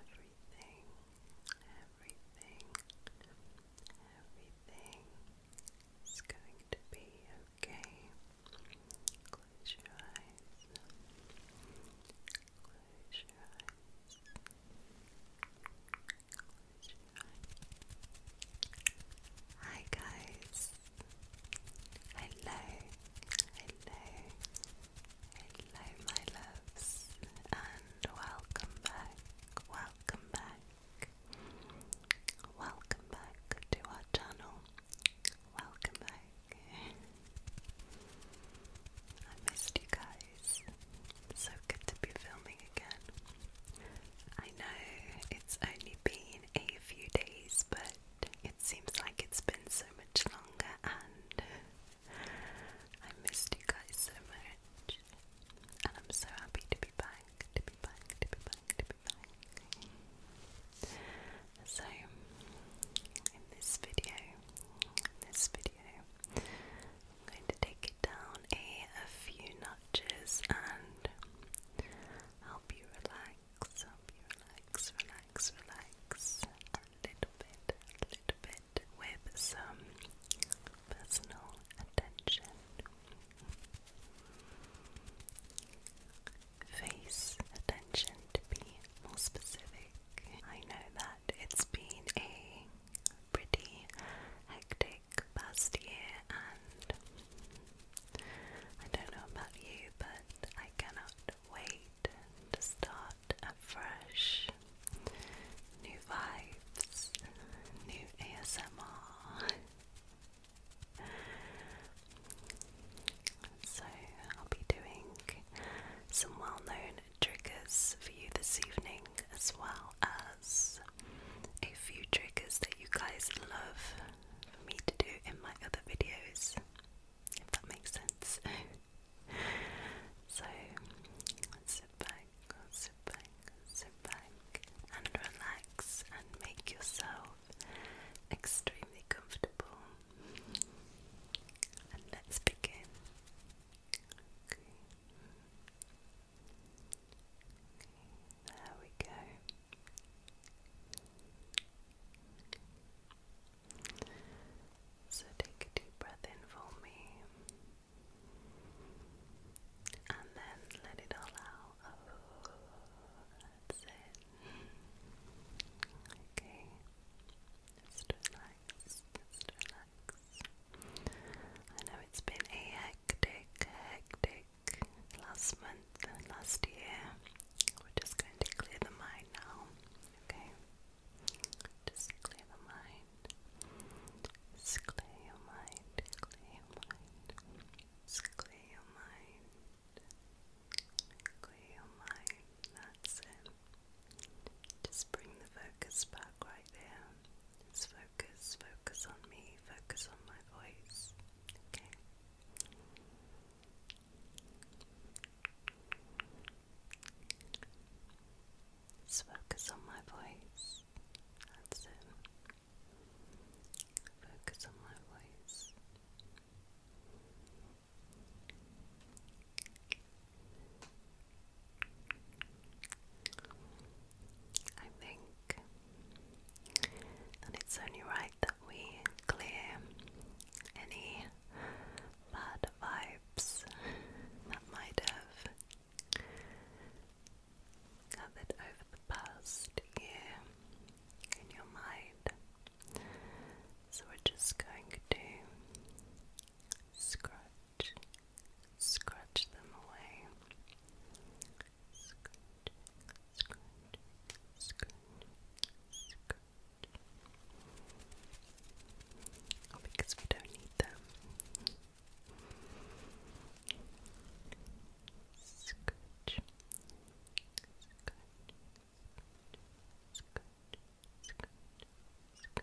Everything, everything, everything is going to be okay. Close your eyes. Close your eyes. Hi guys. Hello, hello, hello, my loves, and welcome back, welcome back, welcome back to our channel. Welcome back. I missed you guys. It's so good to be filming again. I know it's only been in a few days, but it seems like it's been so much longer and I missed you guys so much. And I'm so happy to be back, to be back, to be back, to be back. So, in this video, in this video, I'm going to take it down a, a few notches and help you relax, help you relax, relax, relax a little bit, a little bit with some personal attention. Face attention to be more specific. I know that it's been a pretty hectic like year, and I don't know about you, but I cannot wait to start afresh. New vibes, new ASMR. So, I'll be doing some well known triggers for you this evening, as well a few triggers that you guys love for me to do in my other videos, if that makes sense. so sit back, sit back, sit back, and relax and make yourself extremely comfortable. And let's begin. Okay there we go. So take a deep breath in for me. And then let it all out. Okay. relax. relax it's been a hectic, hectic last month and last year. We're just going to clear the mind now, okay? Just clear the mind. Just clear your mind. Clear your mind. Just clear your mind. Clear your mind. That's it. Just bring the focus back right there. Just focus, focus on me, focus on my voice. Okay. Just focus on my voice. That's it. Focus on my voice. I think. And it's only right that we clear any bad vibes that might have gathered over the past year in your mind. So we're just going to scratch scratch them away. Scratch, scratch, scratch, scratch. Oh, because we don't need them. Scratch, scratch, scratch, scratch, scratch,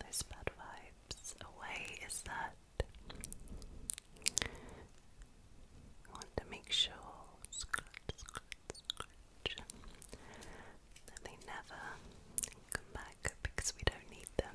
those bad vibes away is that I want to make sure that they never come back because we don't need them.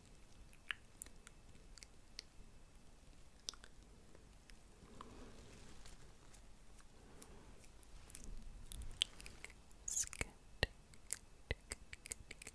It's good. Good, good, good, good. Good,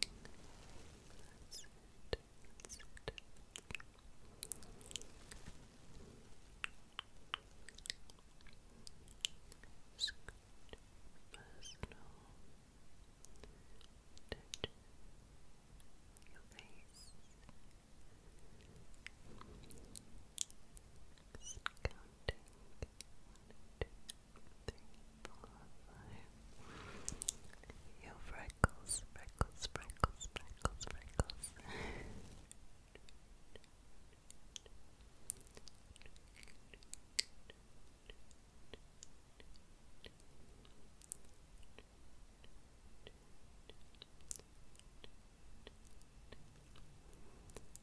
That's it. That's it. It's good. Personal touch your face, counting one, two, three, four, five. Yo, freckles, freckles, freckles, freckles, freckles, freckles, freckles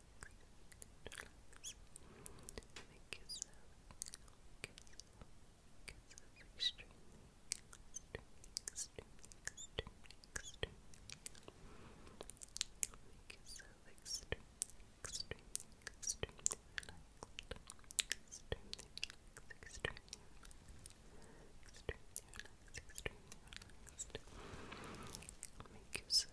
relax. Make yourself, make yourself, make yourself extremely, extremely, extremely, extremely, extremely. Make yourself extremely, extremely, extremely relaxed. Extremely relaxed, extremely relaxed, extremely relaxed, extremely relaxed. Make yourself,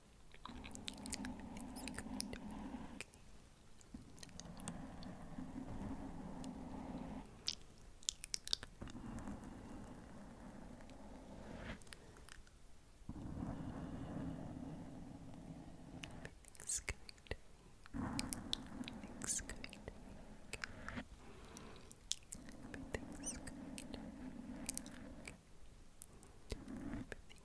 Everything's good. Everything's good. Everything's good. Everything's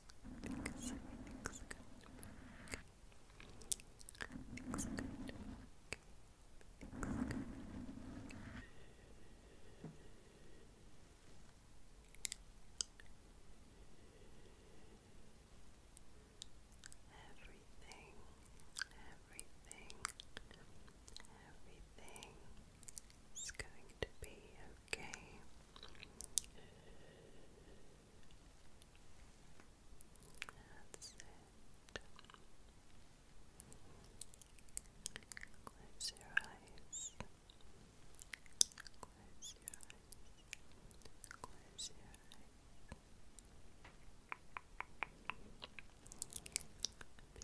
Looks good. Everything, everything, everything, it's going to be okay. Close your eyes. Close your eyes. Close your eyes.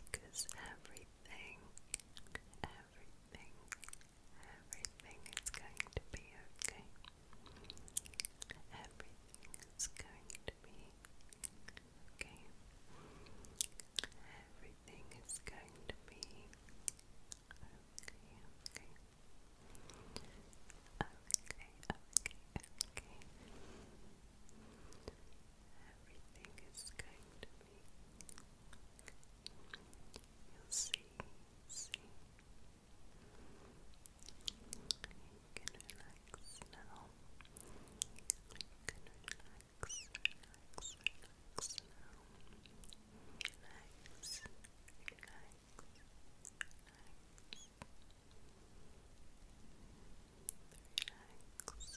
Because everything, everything, everything is going to be okay. Everything is going to be okay. Everything is going to be okay, okay. Okay, okay, Everything is going You'll see, see. You can relax now. You can relax, relax, relax now. Relax, relax, relax. Relax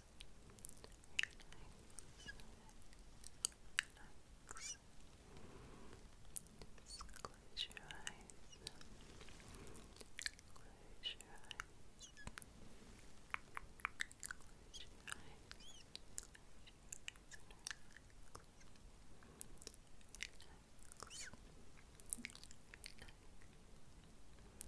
relax. Just close your eyes. Close your eyes. Close your eyes. Close your eyes and relax. Relax. Relax.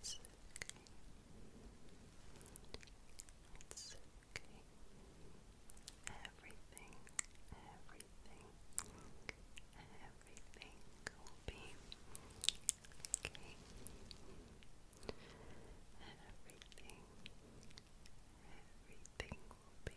It's okay. Everything, everything, everything will be okay. Everything, everything will be, everything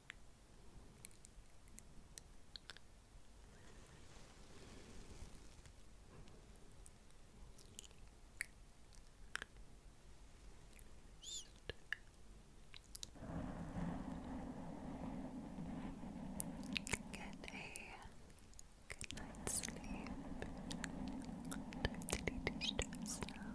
Get a good night's sleep. Totally distress now.